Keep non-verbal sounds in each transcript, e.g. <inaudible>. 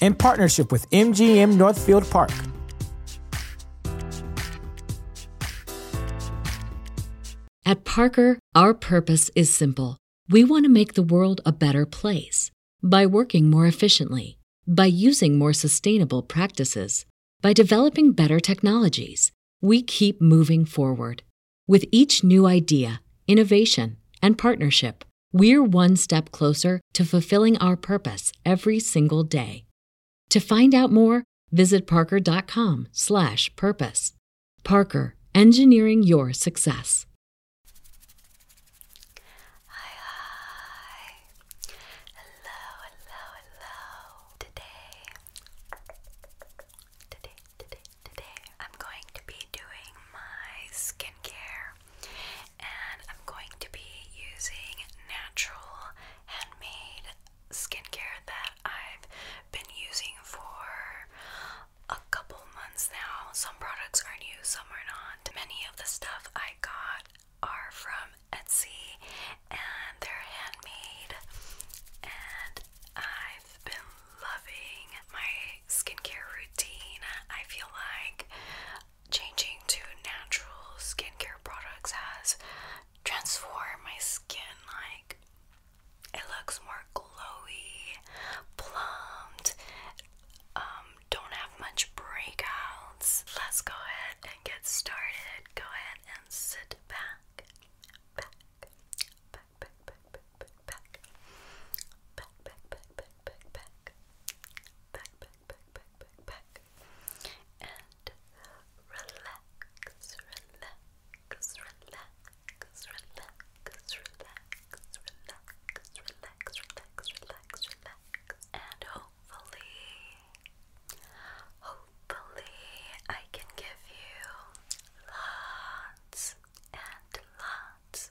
in partnership with MGM Northfield Park. At Parker, our purpose is simple. We want to make the world a better place by working more efficiently, by using more sustainable practices, by developing better technologies. We keep moving forward with each new idea, innovation, and partnership we're one step closer to fulfilling our purpose every single day. To find out more, visit parker.com/purpose. Parker, engineering your success. Hi, Hello, hello, hello. today, today, today, today, I'm going to be doing my skincare and I'm going to be using natural handmade skincare that I've been using for a couple months now. Some products are new, some are not. Many of the stuff I got are from Etsy and they're handmade and I've been loving my skincare routine. I feel like changing to natural skincare products has transformed my skin. Like, it looks more glowy, plumped, um, don't have much breakouts. Let's go ahead and get started. Go ahead and sit back, back, back, back, back, back, back, back, back, back, back, back, back, back, back, back, back, back, back, and relax, relax, relax, relax, relax, relax, relax, relax, relax, relax, and hopefully, hopefully, I can give you lots and lots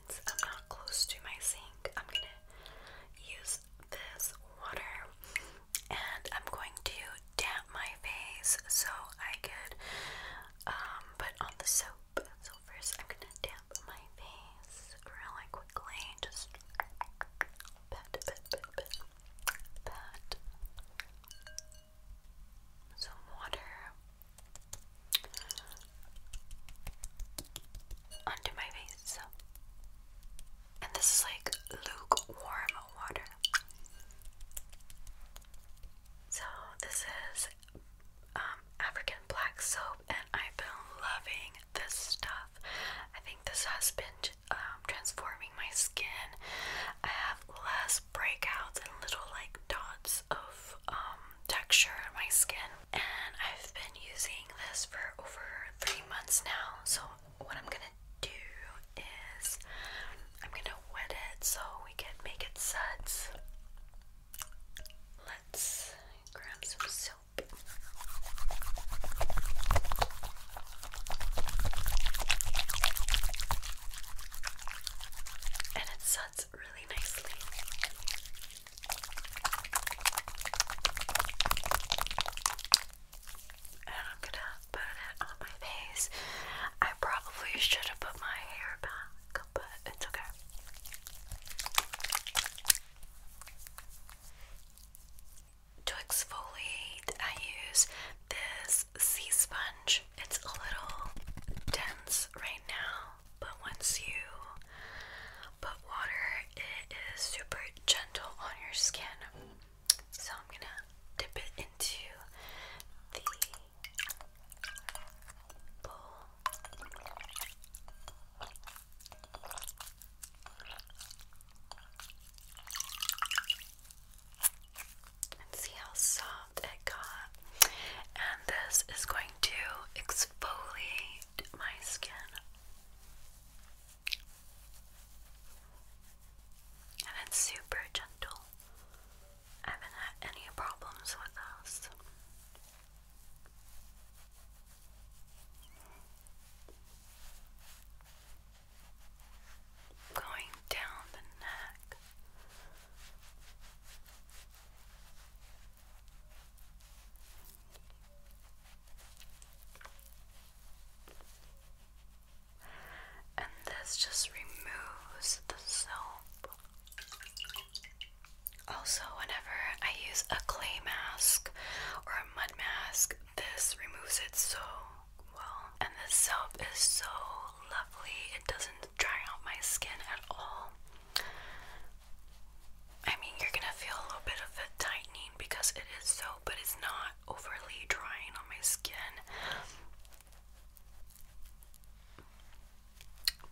I'm not close to my sink, I'm gonna use this water and I'm going to damp my face so I could um, put on the soap. So, first, I'm gonna damp my face really quickly. Just Some water onto my face. And this is like lukewarm water. So, this is um, African black soap, and I've been loving this stuff. I think this has been um, transforming my skin. I have less breakouts and little like dots of um, texture on my skin and I've been using this for over three months now. So, what I'm gonna do is I'm gonna wet it so we can make it suds. Let's grab some soap. And it suds really nicely. And I'm gonna put it on my face. I probably should have put my hair back, but it's okay. To exfoliate, I use this sea sponge. It's a little dense right now, but once you put water, it is super gentle on your skin. So I'm gonna dip it into the bowl. And see how soft it got. And this is going to exfoliate my skin. And it's super gentle. haven't had any problems with those. Going down the neck. And this just removes the soap. Also, whenever I use a clay mask or a mud mask, this removes it so well. And the soap is so lovely, it doesn't dry out my skin at all. I mean, you're gonna feel a little bit of a tightening because it is so, but it's not overly drying on my skin.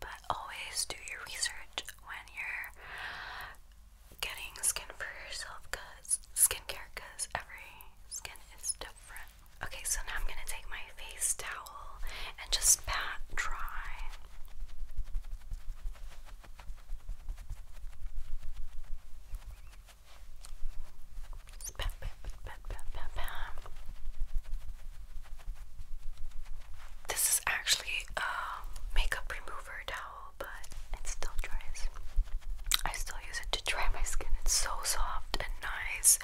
But always do your research when you're getting skin for yourself because skincare, because every skin is different. Okay, so now I'm gonna take my face towel and just pat dry. Just pat, pat, pat, pat, pat, This is actually a makeup remover towel, but it still dries. I still use it to dry my skin. It's so soft and nice.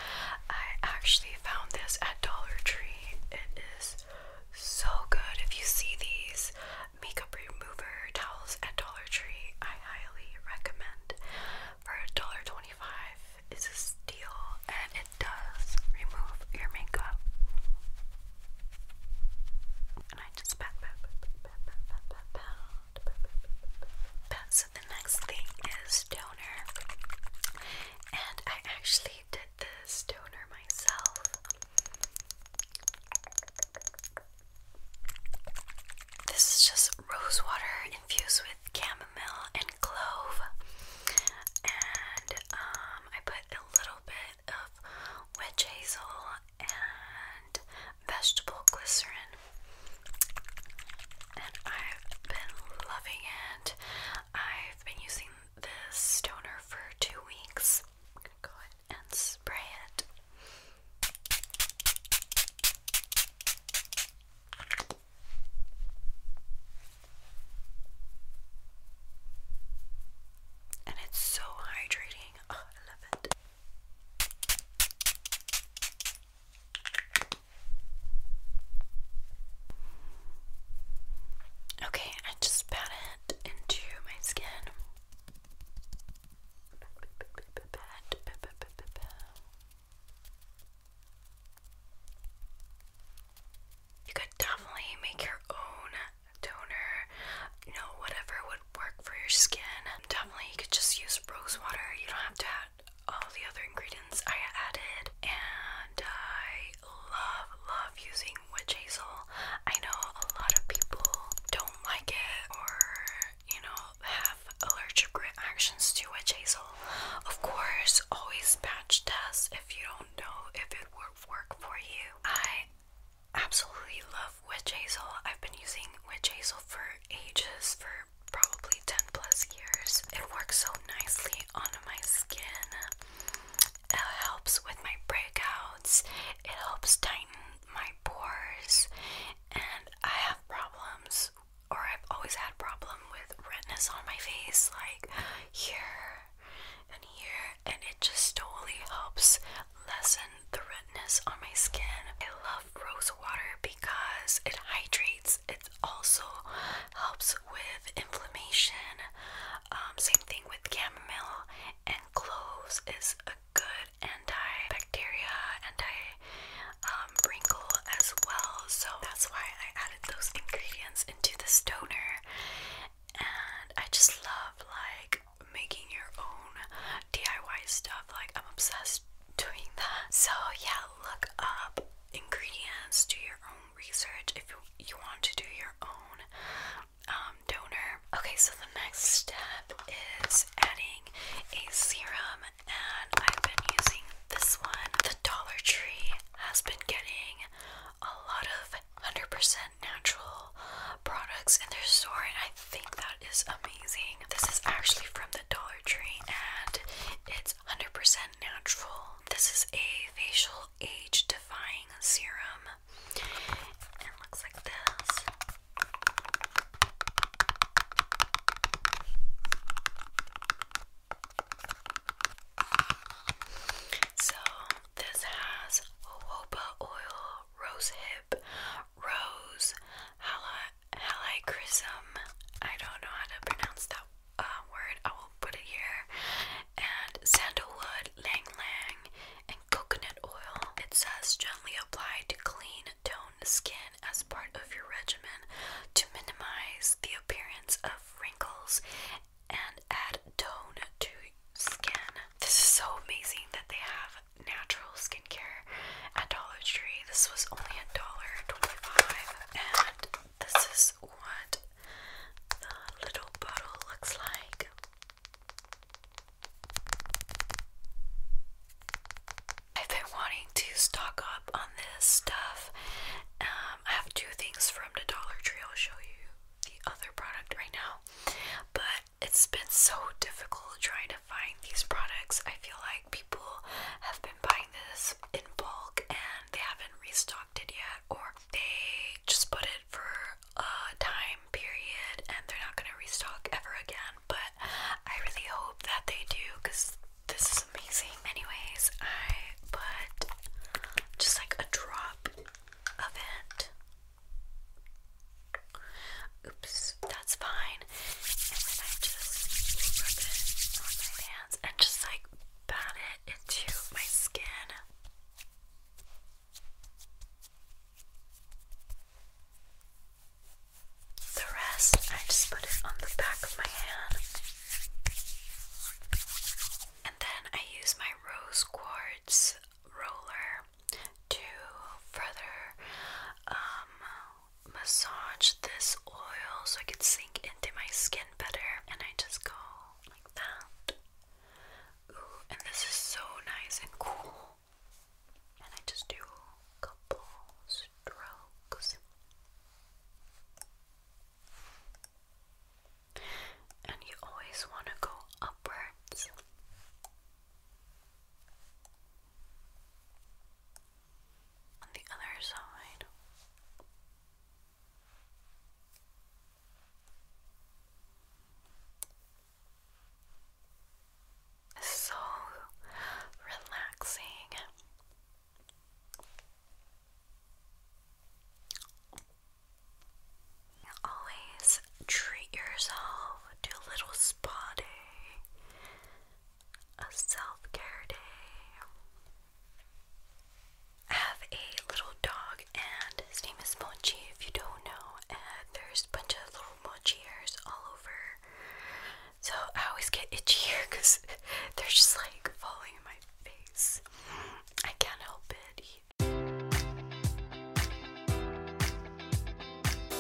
I actually found this at Dollar Tree. It is so good. If you see these makeup remover towels at Dollar Tree, I highly recommend. For a dollar twenty-five, it's a steal and it does remove your makeup. And I just So the next thing is toner. And I actually did this toner myself. This is just rose water infused with chamomile and clove. And um, I put a little bit of witch hazel and vegetable glycerin. And I've been loving it. I've been using this toner for two weeks. I'm gonna go ahead and spray it. And it's so hydrating. Oh, I love it. Okay, I just pat into my skin. You could definitely make your own toner, you know, whatever would work for your skin. Definitely, you could just use rose water. You don't have to add all the other ingredients I added, and I love, love using witch hazel. I know a lot of people don't like it or, you know, have allergic reactions to witch hazel. Of course, always patch test if you don't know if it will work for you. I absolutely love witch hazel. I've been using witch hazel for ages, for probably 10 plus years. It works so nicely on my skin. It helps with my breakouts, it helps tighten my pores, and I have problems, or I've always had problem with redness on my face, like here and here, and it just totally helps lessen the redness on my skin. I love rose water because it hydrates, it also helps with inflammation. Um, same thing with chamomile and cloves is a good antibacterial, anti um, wrinkle as well. So that's why I added those ingredients into this stoner. And I just love like making your own DIY stuff. Like I'm obsessed doing that. So yeah, look up ingredients, do your own research if you want to do your own um, donor. Okay, so the next step is adding a serum, and I've been using this one. The Dollar Tree has been getting a lot of 100% natural products in their store, and I think that is amazing. This is actually from the Dollar Tree, and it's 100% natural. This is a facial Age Defying Serum. it looks like this. So, this has jojoba oil, rose hip, rose, halichrysum. I don't know how to pronounce that uh, word, I will put it here. And sandalwood, lang lang, and coconut oil. It says gently applied to clean, tone skin as part of your regimen to minimize the appearance of wrinkles and add tone to skin. This is so amazing that they have natural skincare at Dollar Tree. This was only a dollar twenty-five, and this is what the little bottle looks like. I've been wanting to stock up on this stuff. Um, I have two things from the Dollar Tree. I'll show you the other product right now. But it's been so difficult trying to find these products. I feel like people have been buying this in bulk and they haven't restocked it yet, or they just put it for a time period and they're not gonna restock ever again. But I really hope that they do because this is amazing. Anyways, I put just like a drop of it. Oops, that's fine. And then I just rub it on my hands and just like pat it into my skin. The rest, I just put it on the back of my hand. And then I use my rose quartz roller to further um, massage this oil so it can sink into my skin better. And I just go like that. and this is so nice and cool. And I just do a couple strokes. And you always want to go upwards. On the other side. So relaxing. Always treat yourself to a little spa day, a self care day have a little dog, and his name is Mochi. If you don't know, there's a bunch of little mochi hairs all over. So I always get itchy here <laughs> because <laughs> they're just like falling in my face. I can't help it.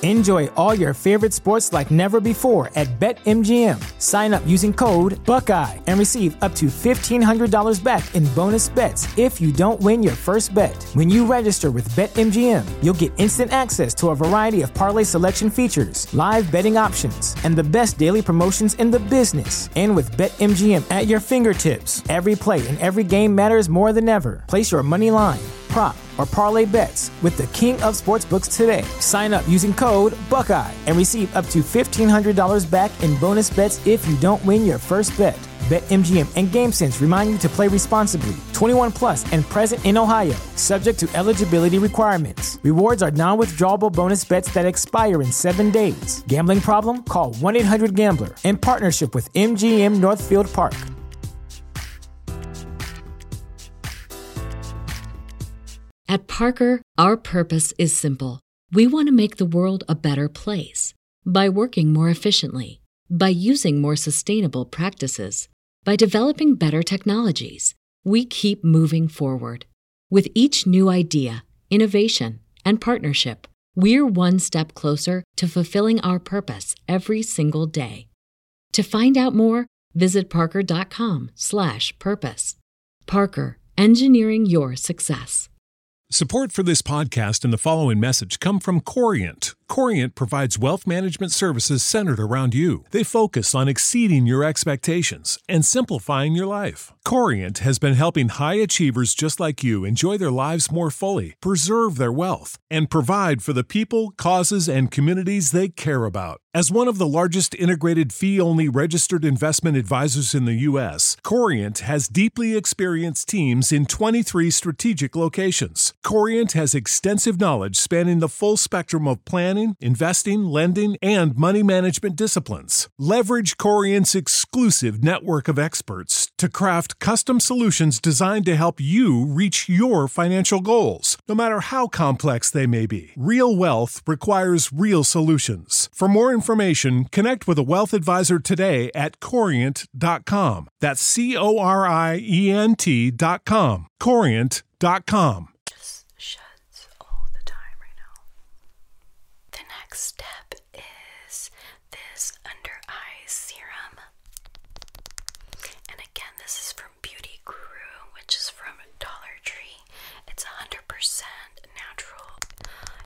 Enjoy all your favorite sports like never before at BetMGM. Sign up using code Buckeye and receive up to $1,500 back in bonus bets if you don't win your first bet. When you register with BetMGM, you'll get instant access to a variety of parlay selection features, live betting options, and the best daily promotions in the business. And with BetMGM at your fingertips, every play and every game matters more than ever. Place your money line prop or parlay bets with the king of sportsbooks today. Sign up using code Buckeye and receive up to $1,500 back back in bonus bets if you don't win your first bet. BetMGM and GameSense remind you to play responsibly. 21 plus and present in Ohio, subject to eligibility requirements. Rewards are non withdrawable bonus bets that expire in seven days. Gambling problem? Call 1 800 Gambler in partnership with MGM Northfield Park. At Parker, our purpose is simple we want to make the world a better place by working more efficiently, by using more sustainable practices, by developing better technologies. We keep moving forward. With each new idea, innovation, and partnership, we're one step closer to fulfilling our purpose every single day. To find out more, visit parker.com/purpose. slash Parker, engineering your success. Support for this podcast and the following message come from Corient. Corient provides wealth management services centered around you. They focus on exceeding your expectations and simplifying your life. Corient has been helping high achievers just like you enjoy their lives more fully, preserve their wealth, and provide for the people, causes, and communities they care about. As one of the largest integrated fee only registered investment advisors in the U.S., Corient has deeply experienced teams in 23 strategic locations. Corient has extensive knowledge spanning the full spectrum of planning, investing, lending, and money management disciplines. Leverage Corient's exclusive network of experts to craft custom solutions designed to help you reach your financial goals, no matter how complex they may be. Real wealth requires real solutions. For more information, connect with a wealth advisor today at corient.com. That's C O R I E N T.com. Corient.com. Just sheds all the time right now. The next step is this under eye serum. And again, this is from Beauty Guru, which is from Dollar Tree free. It's 100% natural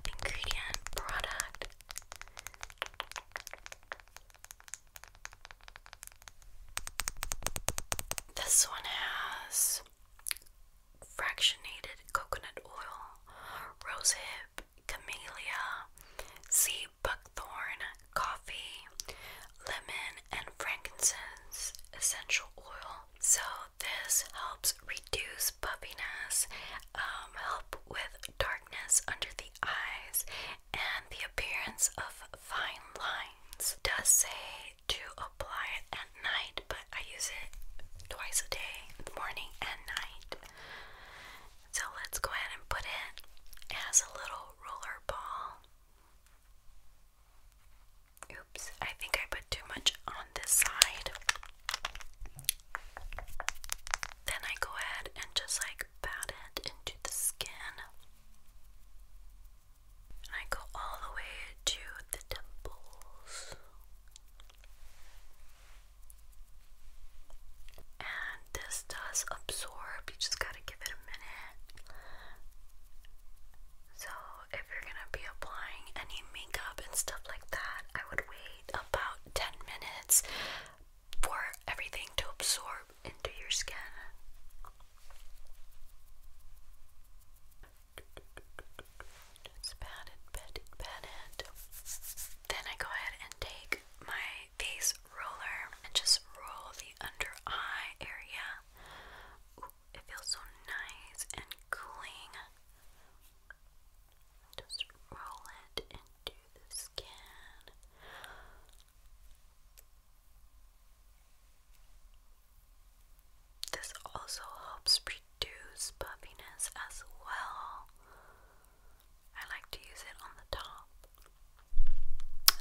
ingredient product. This one has fractionated coconut oil, rosehip, camellia, sea buckthorn, coffee, lemon, and frankincense essential oil. So this helps reduce puffiness, um, help with darkness under the eyes, and the appearance of fine lines. does say to apply at night, but I use it twice a day, morning and night. So let's go ahead and put it as a little roller ball. Oops, I think I put too much on this side. Then I go ahead and just like pat it into the skin. And I go all the way to the temples. And this does absorb, you just gotta give it a minute. So if you're gonna be applying any makeup and stuff like that, I would wait about 10 minutes for everything to absorb into your skin. Then I go ahead and take my face roller and just roll the under eye area it feels so nice and cooling. Just roll it into the skin. This also helps reduce puffiness as well. I like to use it on the top,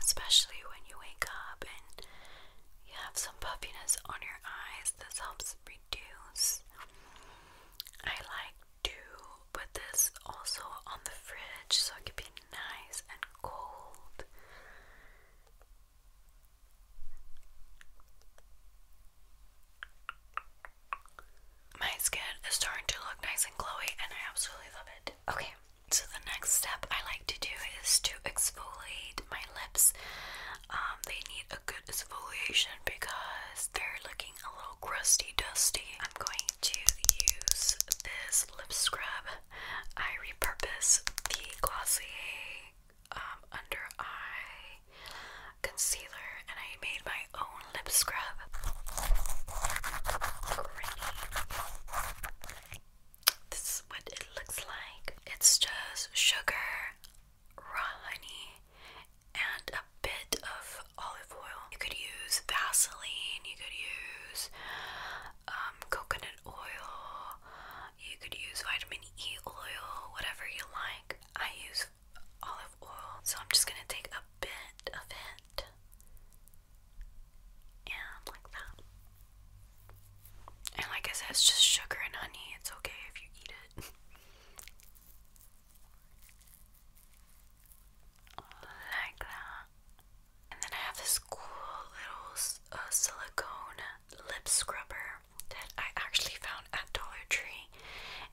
especially when you wake up and you have some puffiness on your eyes. This helps reduce. I like to put this also on the fridge so it can be nice and cold. My skin is starting to look nice and glowy, and I absolutely love it. Okay, so the next step I like to do is to exfoliate my lips. Um, they need a good exfoliation because they're looking a little crusty, dusty. I'm going to use this lip scrub. I repurpose the Glossier um, under eye concealer, and I made my own lip scrub. This is what it looks like. It's just sugar, raw honey, and a bit of olive oil. You could use Vaseline, you could use um, coconut oil, you could use vitamin E oil, whatever you like. I use olive oil, so I'm just gonna take a bit of it and like that. And like I said, it's just sugar and honey. It's okay if you eat it. like that. And then I have this cool little uh, silicone lip scrubber that I actually found at Dollar Tree.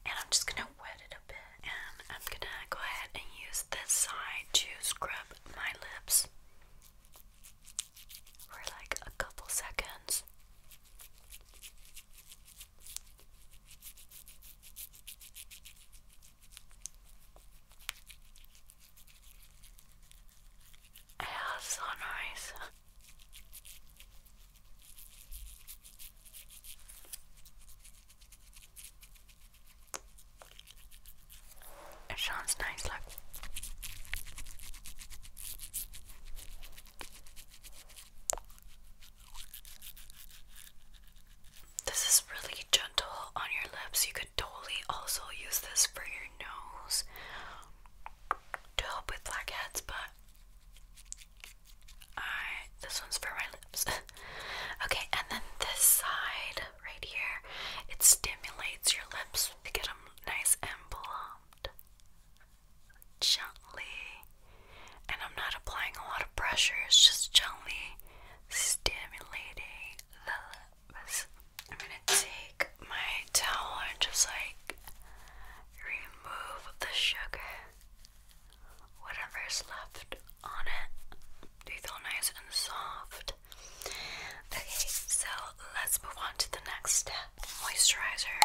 And I'm just gonna wet it a bit. And I'm gonna go ahead and use this side to scrub my lips for like a couple seconds. It so nice. It sounds nice, like this is really gentle on your lips. You could totally also use this for your nose to help with blackheads, but I this one's for my lips. <laughs> okay, and then this side right here, it stimulates your lips to get them nice and plumped gently, and I'm not applying a lot of pressure, it's just gently stimulating the lips. I'm gonna take my towel and just like remove the sugar, whatever's left on it. They feel nice and soft. Okay, so let's move on to the next step moisturizer.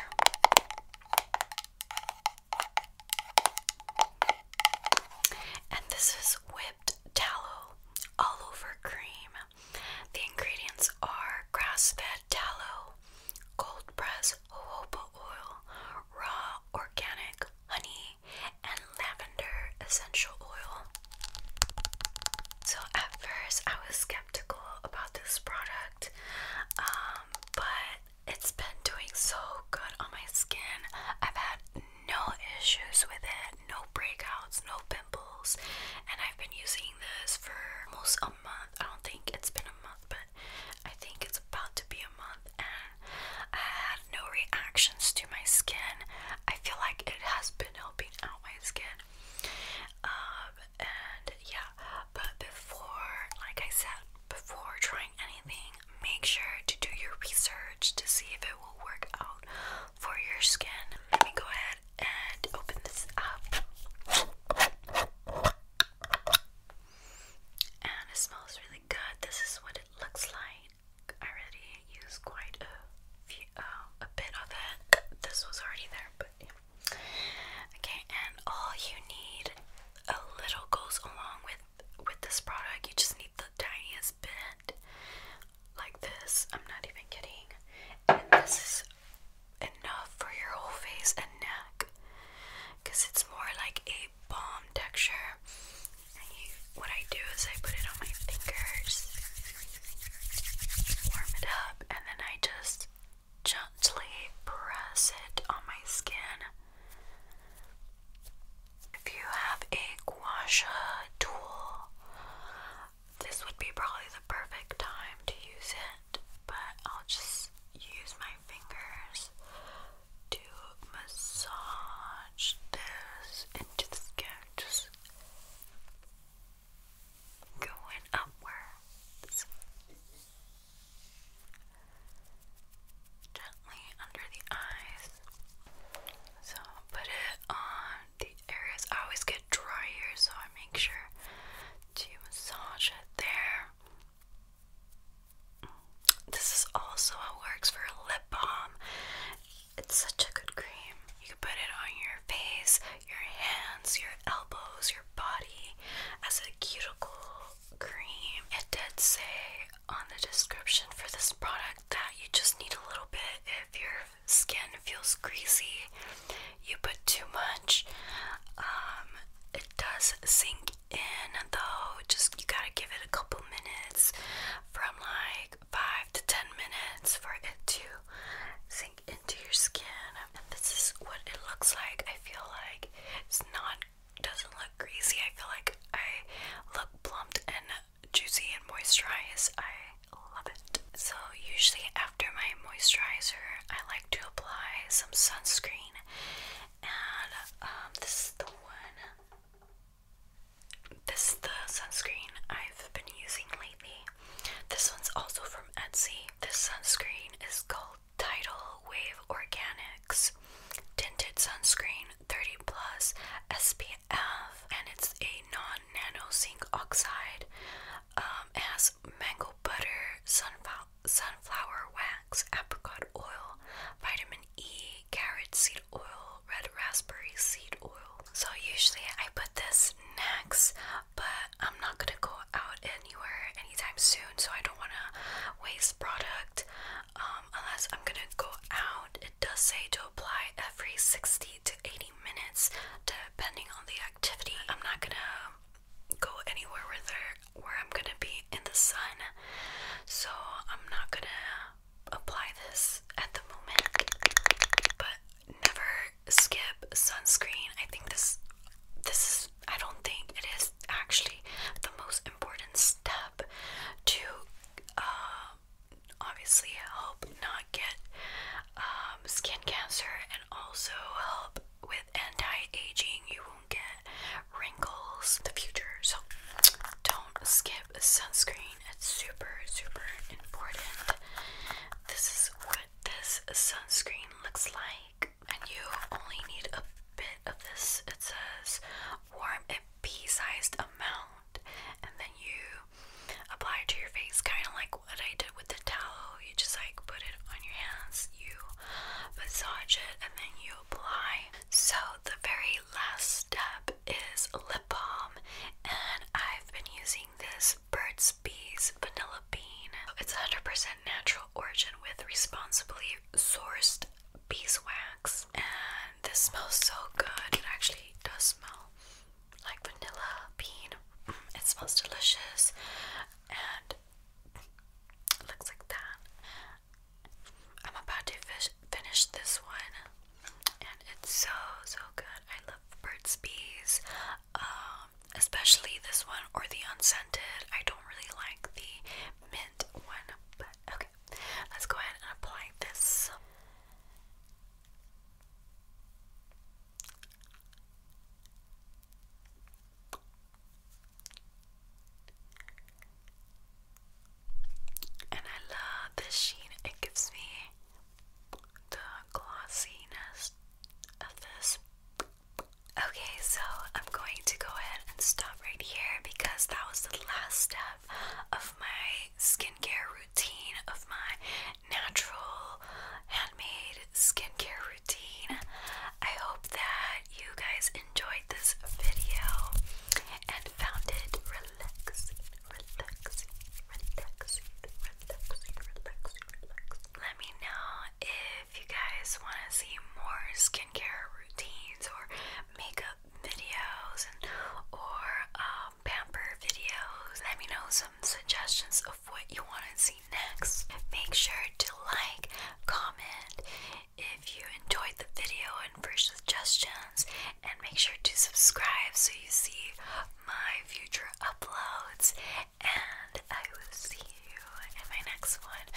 And this is whipped tallow all over cream. The ingredients are grass fed tallow, cold pressed jojoba oil, raw organic honey, and lavender essential oil. So at first I was skeptical about this product, um, but it's been doing so good on my skin. I've had no issues with it, no breakouts, no pimples, and I've been using this for almost a month. I don't think it's been a month, but I think it's about to be a month, and I had no reactions to my skin. I feel like it has been helping out my skin. Uh, and yeah, but before, like I said, before trying anything, make sure to do your research to see if it will work out for your skin. Let me go ahead and open this up. And it smells really good. This is what it looks like. I already used quite a um, a bit of it. This was already there, but Okay, and all you need a little goes along with with this product. You just need the tiniest bit, like this. I'm not even kidding. And this is enough for your whole face and neck, cause it's more like a balm texture. what I do is I put it on my fingers, warm it up, and then I just gently press it on my skin. If you have a gua sha tool, this would be probably the perfect time to use it, but I'll just use my fingers to massage this into the skin. Just going upwards, gently under the eyes. So put it on the areas. I always get dry here, so I make sure to massage it there. This is also what works for a lip balm. It's such a good cream. You can put it on your face, your hands, your elbows, your body as a cuticle cream. It did say on the description for this product that you just need a little bit if your skin feels greasy, you put too much. Um, it does sink in though, just you gotta give it a couple minutes from like five to ten minutes for it to. See, into your skin. And this is what it looks like. I feel like it's not doesn't look greasy. I feel like I look plumped and juicy and moisturized. I love it. So usually after my moisturizer, I like to apply some sunscreen, and um, this is the one. This is the sunscreen I've been using lately. This one's also from Etsy. This sunscreen is called Tidal Wave Organics Tinted Sunscreen 30 Plus SPF, and it's a non-nano zinc oxide. Um, it has mango butter, sunflower wax, apricot oil, vitamin E, carrot seed oil, red raspberry seed oil. So usually I put this next but I'm not gonna go out anywhere anytime soon, so I don't wanna waste product um, unless I'm gonna go out. It does say to apply every 60 to 80 minutes depending on the activity. I'm not gonna go anywhere where, where I'm gonna be in the sun, so I'm not gonna apply this at the moment, but never Skip sunscreen. I think this this is I don't think it is actually the most important step to uh, obviously help not get um, skin cancer and also help with anti-aging. You won't get wrinkles in the future. So don't skip sunscreen. It's super super important. This is what this sunscreen looks like. And you only need a bit of this. It says warm a pea-sized amount. And then you apply it to your face, kind of like what I did with the towel. You just like put it on your hands, you massage it, and then you apply. So the very last step is lip balm, and I've been using this Birds, Bees Vanilla Bean. It's 100% natural origin with responsibly sourced beeswax. And this smells so good. It actually does smell like vanilla bean. It smells delicious and it looks like that. I'm about to finish this one and it's so so good. I love birds, Bees. Um, um, especially this one or the unscented. I don't really like the mint one, but okay. Let's go ahead and apply this. And I love this sheen. It gives me the glossiness of this. Okay, so I'm going to go ahead and stop right here because that was the last step of my skincare routine, of my natural handmade skincare routine. I hope that you guys enjoyed this video and found it relaxing, relaxing, relaxing, relaxing, relaxing. Let me know if you guys want to see more skincare routines or makeup videos or um, pamper videos. Let me know some suggestions of what you want to see next. Make sure to like, comment if you enjoyed the video and for suggestions, and make sure to subscribe so you see my future uploads and I will see you in my next one.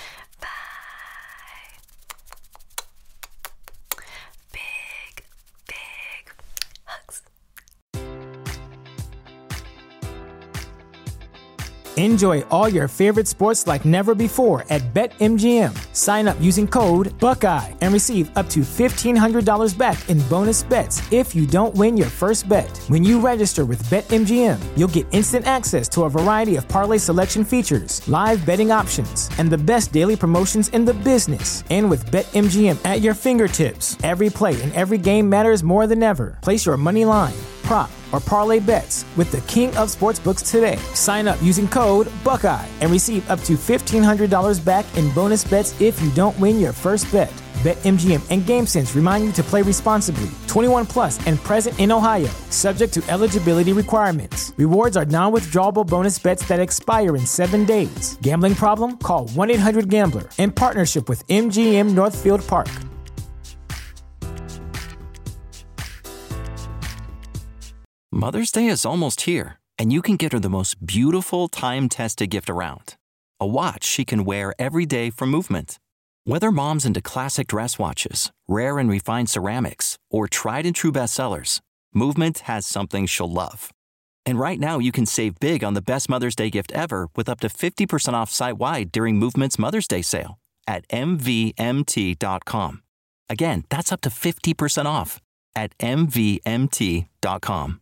Bye. Big, big hugs. Enjoy all your favorite sports like never before at BetMGM. Sign up using code Buckeye and receive up to $1,500 back back in bonus bets if you don't win your first bet. When you register with BetMGM, you'll get instant access to a variety of parlay selection features, live betting options, and the best daily promotions in the business. And with BetMGM at your fingertips, every play and every game matters more than ever. Place your money line prop or parlay bets with the king of sportsbooks today. Sign up using code Buckeye and receive up to $1,500 back in bonus bets if you don't win your first bet. BetMGM and GameSense remind you to play responsibly. 21 plus and present in Ohio, subject to eligibility requirements. Rewards are non-withdrawable bonus bets that expire in seven days. Gambling problem? Call 1-800-GAMBLER in partnership with MGM Northfield Park. Mother's Day is almost here, and you can get her the most beautiful time-tested gift around a watch she can wear every day for movement. Whether mom's into classic dress watches, rare and refined ceramics, or tried and true bestsellers, Movement has something she'll love. And right now, you can save big on the best Mother's Day gift ever with up to 50% off site wide during Movement's Mother's Day sale at MVMT.com. Again, that's up to 50% off at MVMT.com.